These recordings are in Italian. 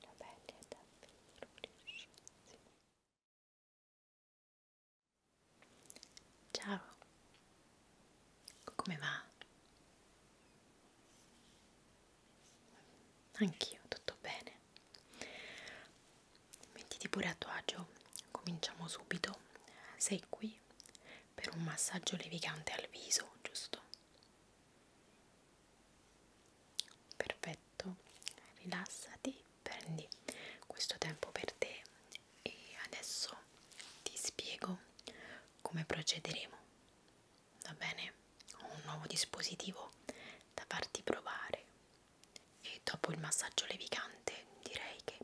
La pelle è davvero rilascissima. Ciao, come va? Anch'io tutto bene mettiti pure a tuo agio, cominciamo subito. Sei qui per un massaggio levigante al viso, giusto? Perfetto, rilassati, prendi questo tempo per te e adesso ti spiego come procederemo. Va bene? Ho un nuovo dispositivo da farti provare e dopo il massaggio levicante direi che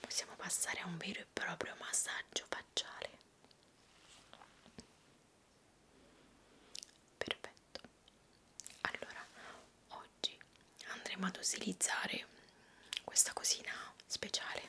possiamo passare a un vero e proprio massaggio facciale perfetto allora oggi andremo ad utilizzare questa cosina speciale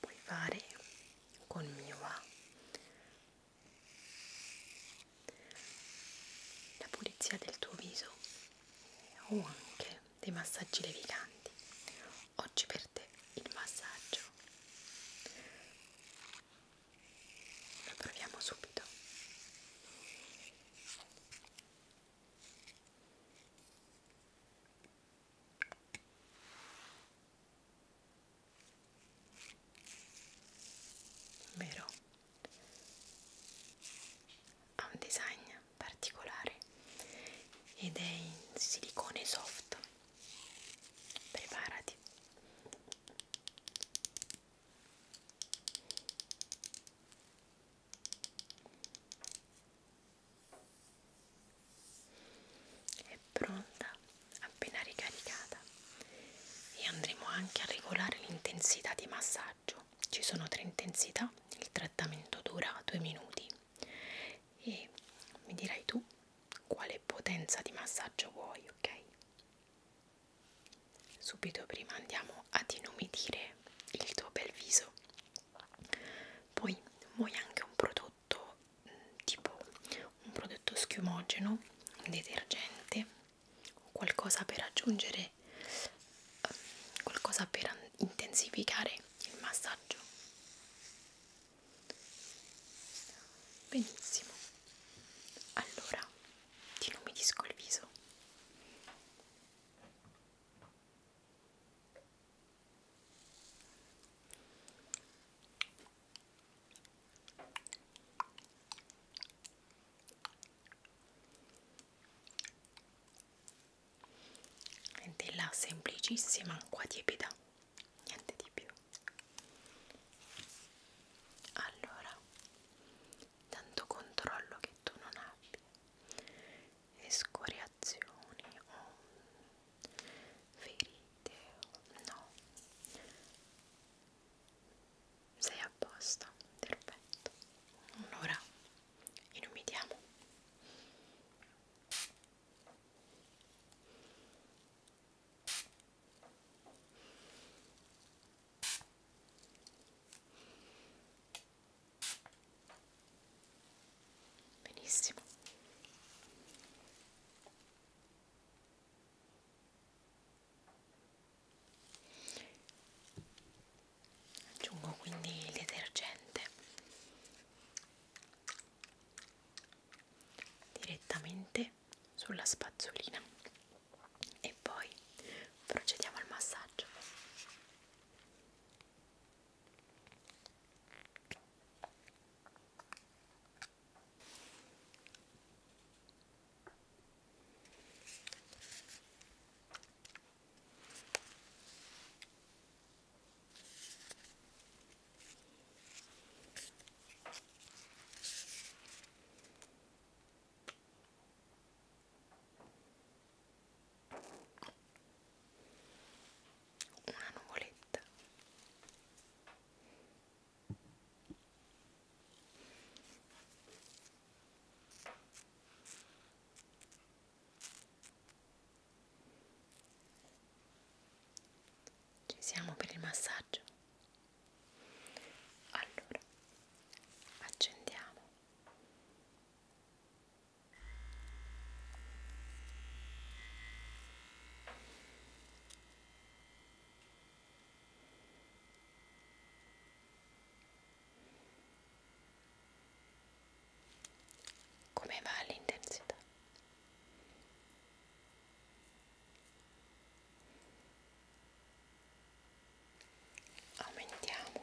puoi fare col mio A la pulizia del tuo viso o anche dei massaggi leviganti oggi per te il massaggio la proviamo subito vero ha un design particolare ed è in silicone soft preparati è pronta appena ricaricata e andremo anche a regolare l'intensità di massaggio ci sono tre intensità il trattamento dura 2 minuti e mi dirai tu quale potenza di massaggio vuoi ok subito prima andiamo ad inumidire il tuo bel viso poi muoio anche un prodotto mm, tipo un prodotto schiumogeno un detergente o qualcosa per aggiungere eh, qualcosa per intensificare il massaggio benissimo allora ti illuminisco il viso della semplicissima acqua tiepida niente di più allora tanto controllo che tu non abbia escoriazioni o ferite o no sei a posto perfetto un'ora inumidiamo Benissimo. Aggiungo quindi il detergente direttamente sulla spazzolina e poi procediamo al massaggio una nuvoletta ci siamo per il massaggio allora accendiamo come va l'intensità aumentiamo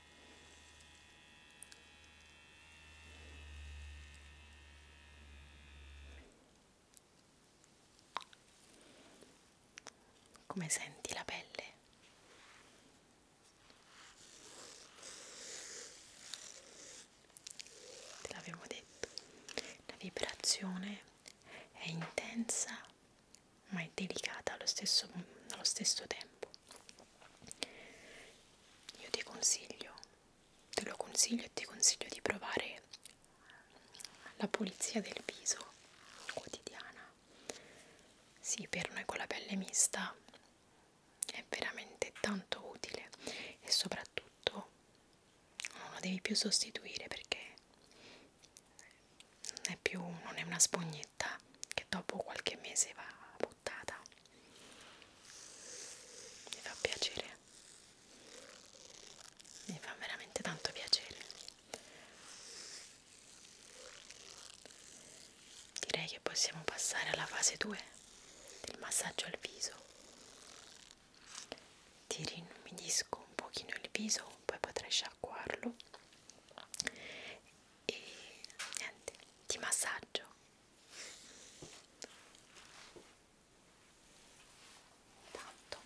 Come senti la pelle? Te l'avevo detto, la vibrazione è intensa ma è delicata allo stesso, allo stesso tempo io ti consiglio te lo consiglio e ti consiglio di provare la pulizia del viso quotidiana sì per noi con la pelle mista è veramente tanto utile e soprattutto non lo devi più sostituire perché non è più non è una spugnetta che dopo qualche mese va buttata mi fa piacere mi fa veramente tanto piacere direi che possiamo passare alla fase 2 del massaggio al viso ti rinumidisco un pochino il viso poi potrai sciacquarlo e niente, ti massaggio. Tanto.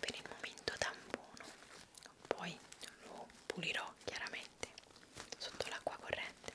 Per il momento tampono, poi lo pulirò chiaramente sotto l'acqua corrente.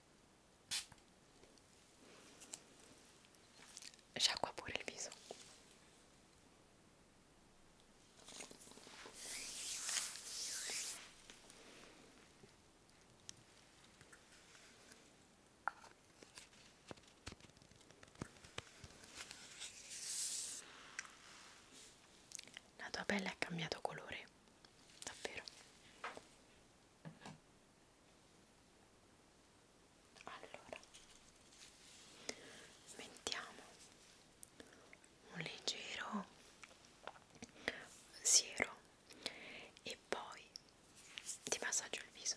Sciacqua pure il viso. La tua pelle ha cambiato colore, davvero allora mettiamo un leggero siero e poi ti massaggio il viso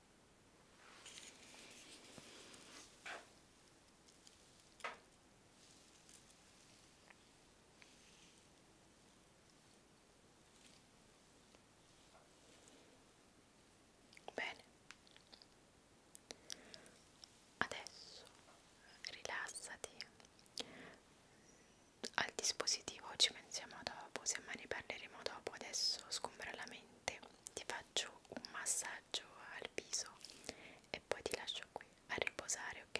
Bene, adesso rilassati. Al dispositivo ci pensiamo dopo, semmai ne parleremo dopo. Adesso sgombra la mente ti faccio un massaggio al viso e poi ti lascio qui a riposare, ok?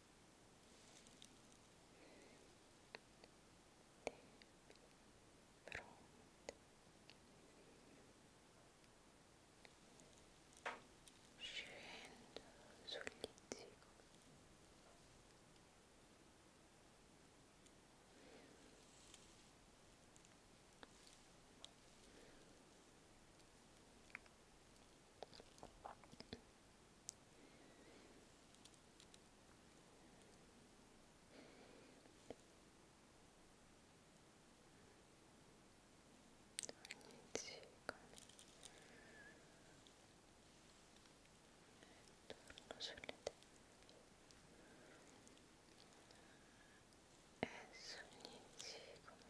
fronte scendo sul lizzico Ecco torno sulle e sogni zigomi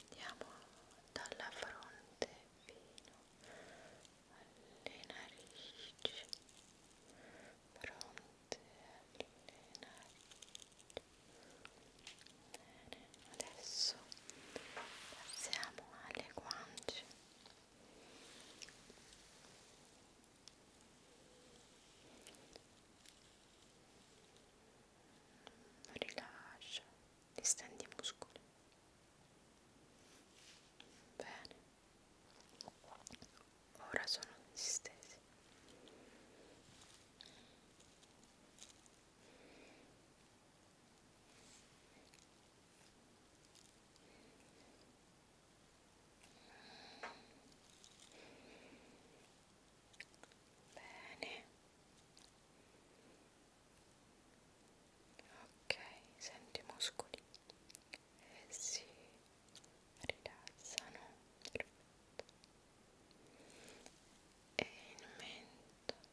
andiamo dalla fronte fino alle narici fronte alle narici bene adesso passiamo alle guance rilascia, distendi i muscoli. Bene, ora sono distesi. Bene. Ok, senti i muscoli e eh si rilassano. Perfetto. E il mento. Ok,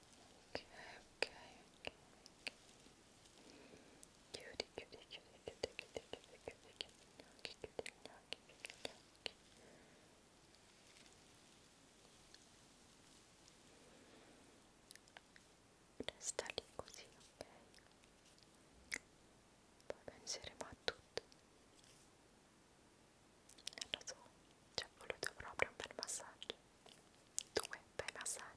Okay, okay, okay. Cutie, cutie, cutie, cutie, cutie, cutie, cutie, cutie, cutie, cutie, cutie, cutie. Resta lì così, ok? Poi penseremo a tutto. lo so, ci è voluto proprio un bel massaggio, due bei massaggi.